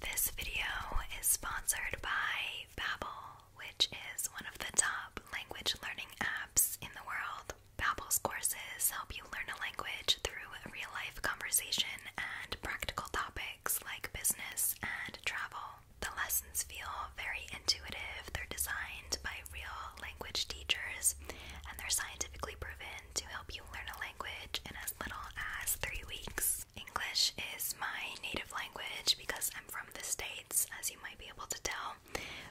This video is sponsored by Babbel, which is one of the top language learning apps in the world. Babbel's courses help you learn a language through real-life conversation and practical topics like business and travel. The lessons feel very intuitive. They're designed by real language teachers and they're scientifically proven to help you learn a language little as three weeks. English is my native language because I'm from the States, as you might be able to tell,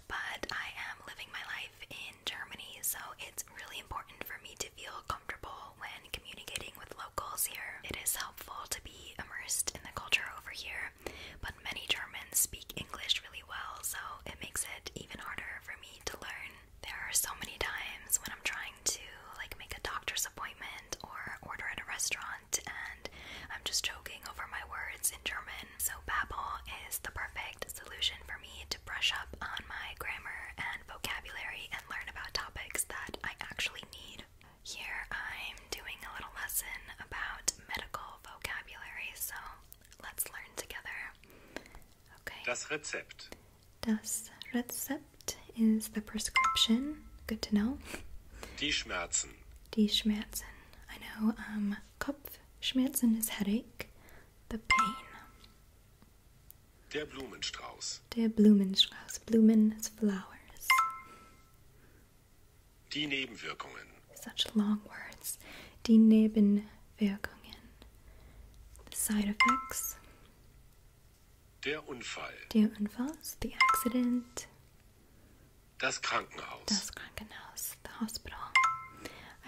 but I am living my life in Germany, so it's really important for me to feel comfortable when communicating with locals here. It is helpful to be immersed in the culture over here, but many Germans speak English really well, so it makes it even harder for me to learn. There are so many times when I'm trying to like make a doctor's appointment or order at a restaurant and I'm just choking over my words in German. So Babbel is the perfect solution for me to brush up on my grammar and vocabulary and learn about topics that I actually need. Here I'm doing a little lesson about medical vocabulary, so let's learn together. Okay. Das Rezept. Das Rezept is the prescription. Good to know. Die Schmerzen. Die Schmerzen. I know um, Kopfschmerzen is headache, the pain. Der Blumenstrauß. Der Blumenstrauß. Blumen is flowers. Die Nebenwirkungen. Such long words. Die Nebenwirkungen. The side effects. Der Unfall. Der Unfall, so the accident. Das Krankenhaus. Das Krankenhaus, the hospital.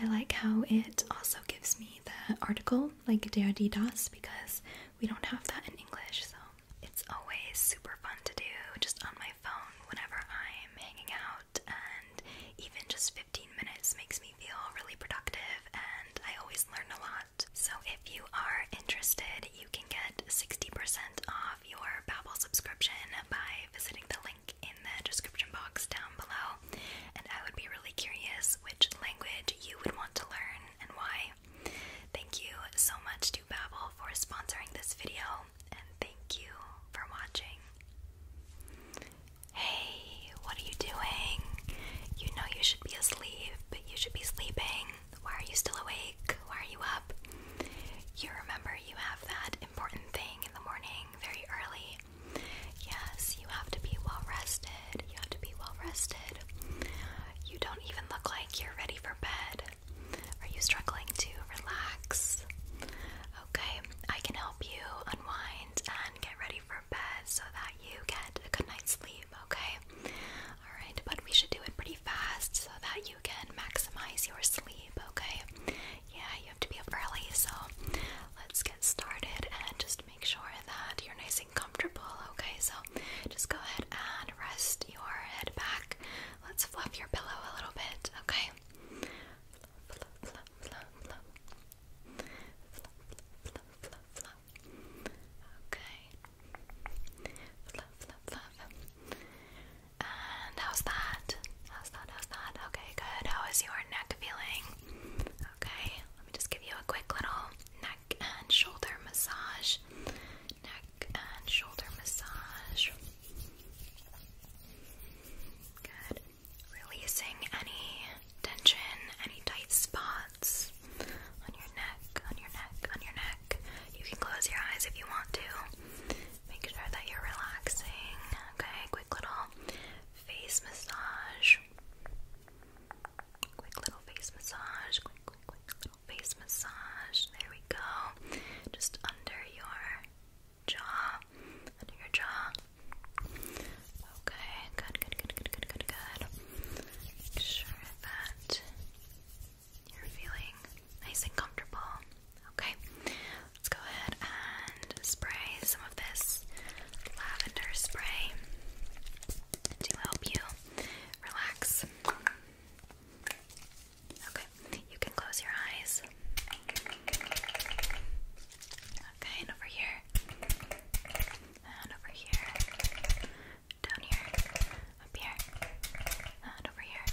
I like how it also gives me the article, like der, die, das, because we don't have that in English, so it's always super fun to do just on my phone whenever I'm hanging out, and even just 15 minutes makes me feel really productive and I always learn a lot. So if you are interested, you can get 60% off your Babbel subscription by visiting the link in the description box down below. And I would be really curious which language you would want to learn and why. Thank you so much to Babbel for sponsoring this video, and thank you for watching. Hey, what are you doing? You know you be asleep, but you should be sleeping. Why are you still awake? Why are you up? You remember you have that important thing in the morning very early. Yes, you have to be well rested. You have to be well rested. You don't even look like you're ready for bed. Are you struggling to relax? Okay, I can help you unwind and get ready for bed so that you get a good night's sleep okay? Alright, but we should do it pretty fast so that you can maximize your sleep, okay? Yeah, you have to be up early, so let's get started and just make sure that you're nice and comfortable, okay? So just go ahead and rest your head back. Let's fluff your pillow a little bit, okay? Okay. Fluff, fluff, fluff. And how's that? How's that? How's that? Okay, good. How is your neck feeling? Okay, let me just give you a quick little neck and shoulder massage. Neck and shoulder massage. Good. Releasing any tension, any tight spots on your neck, on your neck, on your neck. You can close your eyes if you want to. Make sure that you're relaxing. Okay, quick little face massage. Quick little face massage. Quick, quick, quick little face massage. There we go. Just under your jaw. Under your jaw. Okay, good, good, good, good, good, good, good. Make sure that you're feeling nice and comfortable. Okay, let's go ahead and spray some of this lavender spray to help you relax. Okay, you can close your eyes. Okay, and over here. And over here down here, up here, and over here.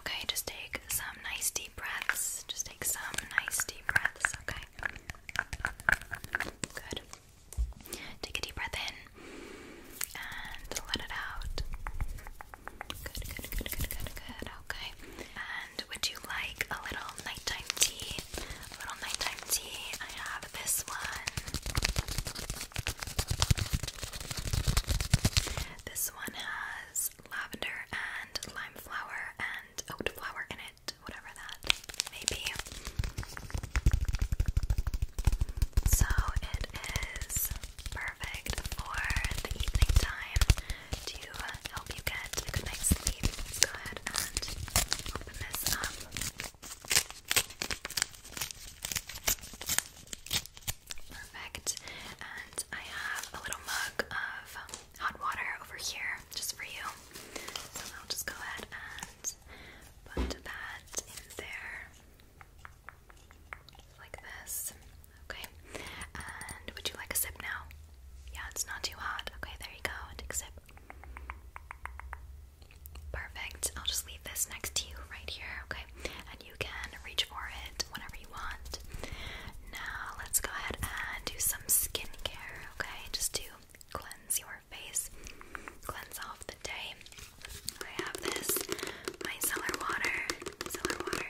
Okay, just take some nice deep breaths. Just take some nice deep breaths, okay? Good. Take a deep breath in and let it out. Good, good, good, good, good, good. Okay. And would you like a little nighttime tea little nighttime tea. I have this one. This one has lavender and lime flower and oat flower in it, whatever that may be. So it is perfect for the evening time to help you get a good night's sleep. go ahead and open this up. Perfect. And I have a little mug of hot water over here just for you. So I'll just go ahead and put that in there. Like this. Okay. And would you like a sip now? Yeah, it's not too hot. Okay, there you go. Take a sip. Perfect. I'll just leave this next to you right here, okay? And you can reach for it whenever you want. Now, let's go ahead and do some skincare, okay? Just to cleanse your face, cleanse off the day. I have this micellar water, water.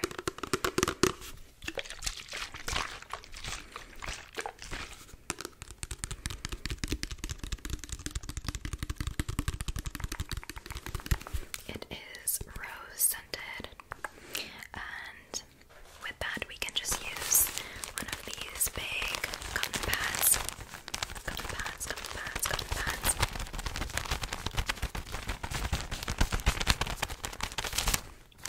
It is rose scented, and with that, we can just use one of these big cotton pads. Cotton pads, cotton pads, cotton pads.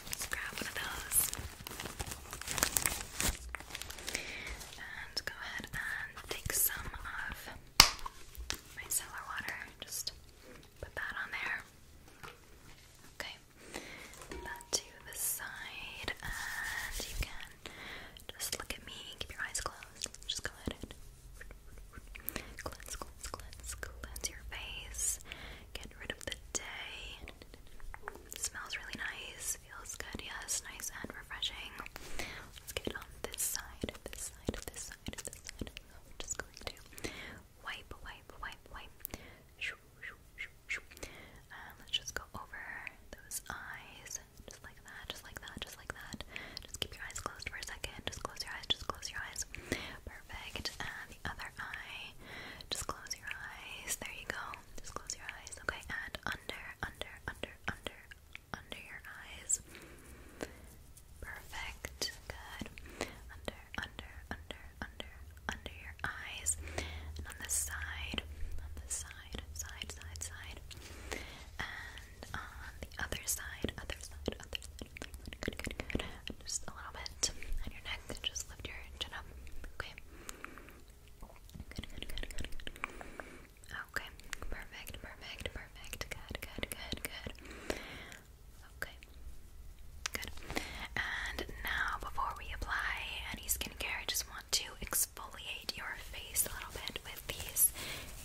let grab one of those. And go ahead and take some of micellar water. Just put that on there. Okay. Put that to the side, and you can just look at me. Keep your eyes closed. Just go ahead and cleanse, cleanse, cleanse, cleanse your face. Get rid of the day. smells really nice. This feels good. yes. nice and refreshing. Let's get on this side, this side, this side, this side. just going to wipe, wipe, wipe, wipe. Shoo, um, let's just go over those eyes. Just like that, just like that, just like that. Just keep your eyes closed for a second. Just close your eyes, just close your eyes. Perfect. And other eye. Just close your eyes. There you go. Just close your eyes. Okay, and under, under, under, under, under your eyes. Perfect. Good. Under, under, under, under, under your eyes. on the side, on the side, side, side, side. And on the other side, other side, other side. good, good. Just a little bit on your neck. Just lift your chin up. Okay. Okay, perfect, perfect, perfect. Good, good, good, good. Okay, good. And now, before we apply any skincare, I just want to exfoliate your face a little bit with these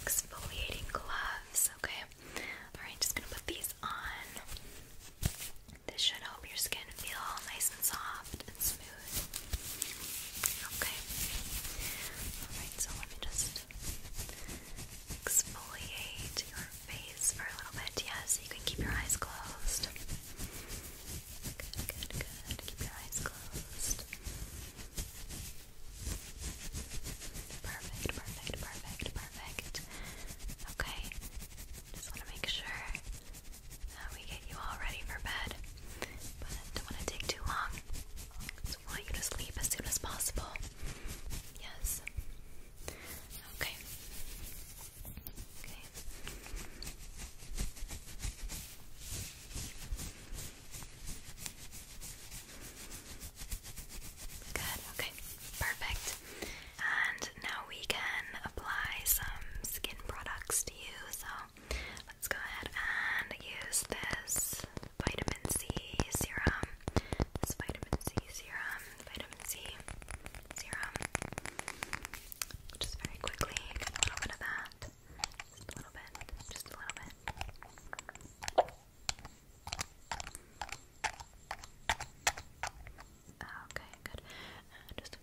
exfoliating gloves. Okay, all right, just gonna put these on. This should help your skin feel nice and soft Okay. Alright, so let me just exfoliate your face for a little bit. Yeah, you can keep your eyes closed. Good, good, good. Keep your eyes closed. Perfect, perfect, perfect, perfect. Okay. Just want to make sure uh, we get you all ready for bed. But don't want to take too long. So want you to sleep as soon as possible. Yes. Okay. Okay. Good, okay, perfect. And now we can apply some skin products to you. So let's go ahead and use this vitamin C serum. This vitamin C serum, vitamin C serum. Just very quickly, a little bit of that. a little bit, just a little bit. Okay, good. just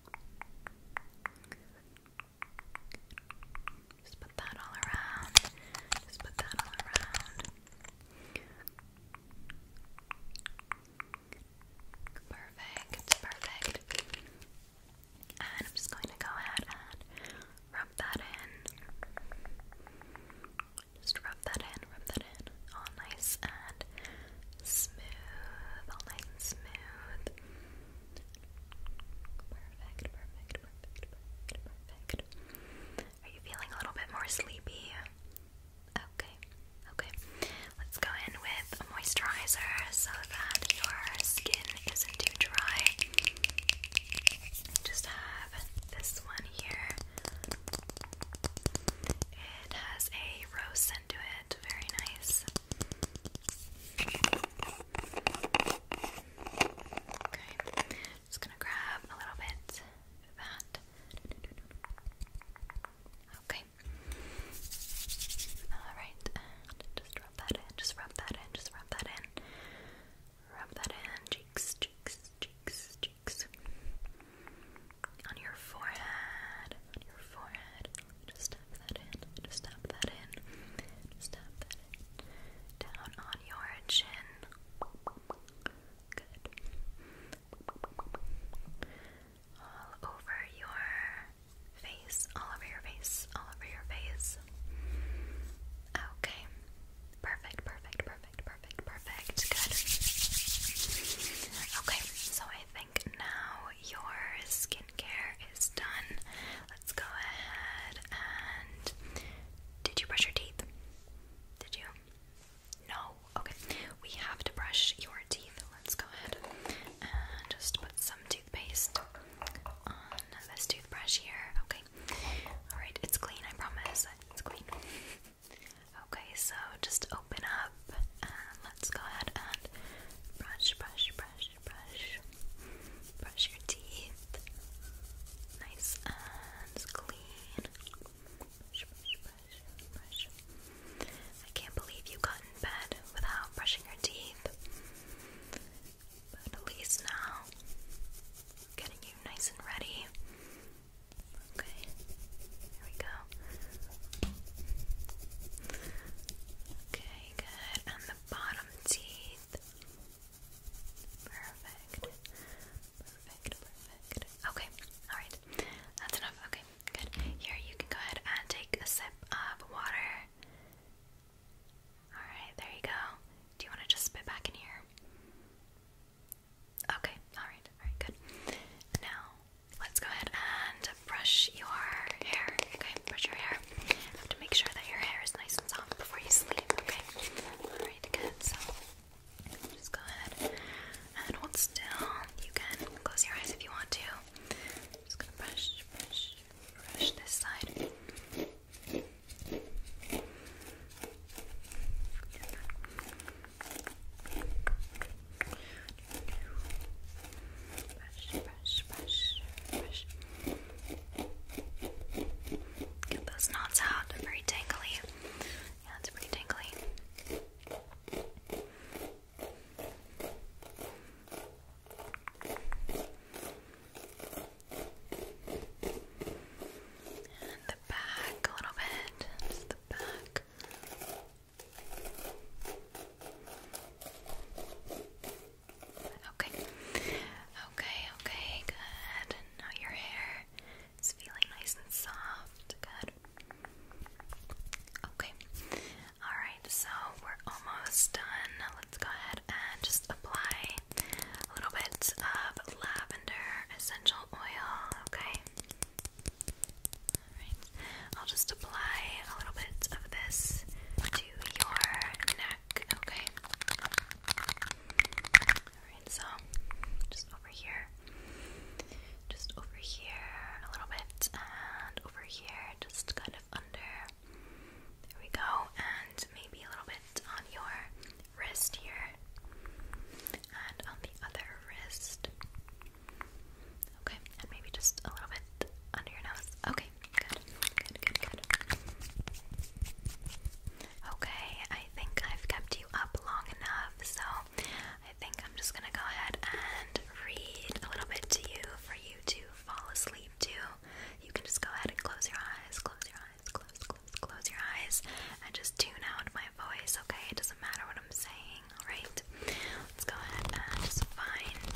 just put that all around. Just put that all around. Perfect, perfect. And I'm just going to go ahead and rub that in. Just rub that in, rub that in. All nice and smooth, all nice and smooth. Are you feeling a little bit more sleepy? Okay, okay. Let's go in with a moisturizer so that your skin isn't too dry. Just have this one here. It has a rose scent to it, very nice. Okay, just gonna grab a little bit of that. Okay. Alright, just rub that in, just rub that in, just rub that in. Rub that in, cheeks, cheeks, cheeks, cheeks. On your forehead, your forehead. Just tap that in. Just tap that in. tap that in. Down on your chin. Good. All over your face. All over your face. All over your face. Okay. Perfect, perfect, perfect, perfect, perfect. Good. Okay, so I think now your skincare is done. Let's go ahead and. Did you brush your teeth? Did you? No? Okay. We have to brush your teeth. Let's go ahead and just put some toothpaste on this toothbrush here. Okay. Alright, it's clean, I promise. It's clean. Okay, so just open up and let's go ahead and brush, brush, brush, brush, brush your teeth, nice and clean. I can't believe you got in bed without brushing your teeth, but at least now, getting you nice and ready. Okay, here we go. Okay, good bottom teeth. Perfect. Perfect, perfect. Okay, alright. That's enough. Okay, good. Here, you can go ahead and take a sip of water. Alright, there you go. Do you want to just spit back in here? Okay, alright, alright, good. Now, let's go ahead and brush your hair. Okay, brush your hair. You have to make sure that your hair is nice and soft before you sleep, okay? Alright, good. So, just go ahead and hold still. You can close your eyes if you want to. just gonna brush, brush, brush this side. Brush. Get those knots out. They're very tangly. Yeah, it's pretty tangly. the back a little bit. Just the back. Okay. Okay, okay, good. now your hair is feeling nice and soft. Good. Okay. Alright, so we're almost done. Let's go ahead and just apply a little bit of lavender essential oil, okay? Alright. I'll just apply a little bit of this to your neck okay? so just over here, just over here a little bit, and over here, just kind of under. There we go, and maybe a little bit on your wrist here, and on the other wrist. Okay, and maybe just a little bit under your nose. Okay, good, good, good, good. Okay, I think I've kept you up long enough, so I think I'm just gonna go ahead and read a little bit to you for you to fall asleep to. You can just go ahead and close your eyes, close your eyes, close, close, close your eyes, and just tune out my voice, okay? It doesn't matter what I'm saying, alright? Let's go ahead and just find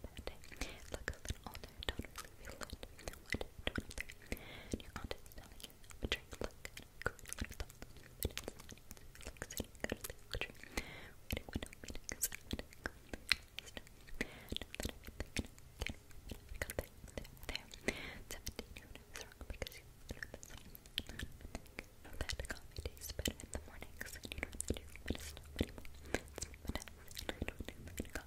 bit Look a little older, don't really feel it. What? 23. And your aunt is telling you how a drink look good, good little thought. But it's not. It looks good, good little drink. Waiting window meetings and Still. Now that I'm thinking, okay, I got that. There, there. 17 year old is wrong because you know that something. Know that coffee tastes better in the mornings and you know that you, but it's not anymore. It's not what I don't do.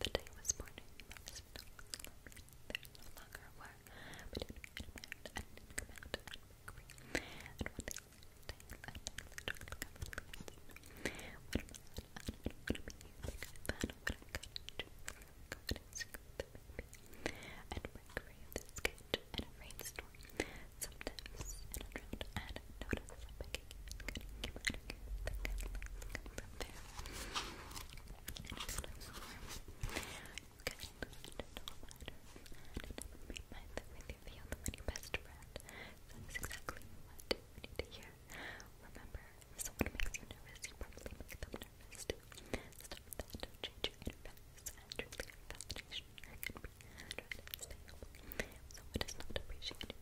The day was morning, I no longer lonely. There no longer were between and come out and make free. And one day, I took the What am I going to be? Because what I got into confidence with the baby. And break free of this cage in a rainstorm. Sometimes in a drought, I'd notice I began your best friend. That's exactly what we need to hear. Remember, if someone makes you nervous, you probably make them nervous too. Stop that, don't change your interface, and truly your validation can be trying to stay humble. Someone does not appreciate you.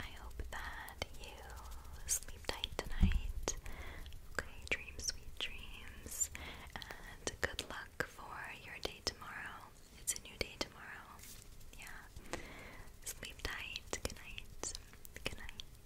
I hope that you sleep tight tonight. Okay, dream sweet dreams. And good luck for your day tomorrow. It's a new day tomorrow. Yeah. Sleep tight. Good night. Good night.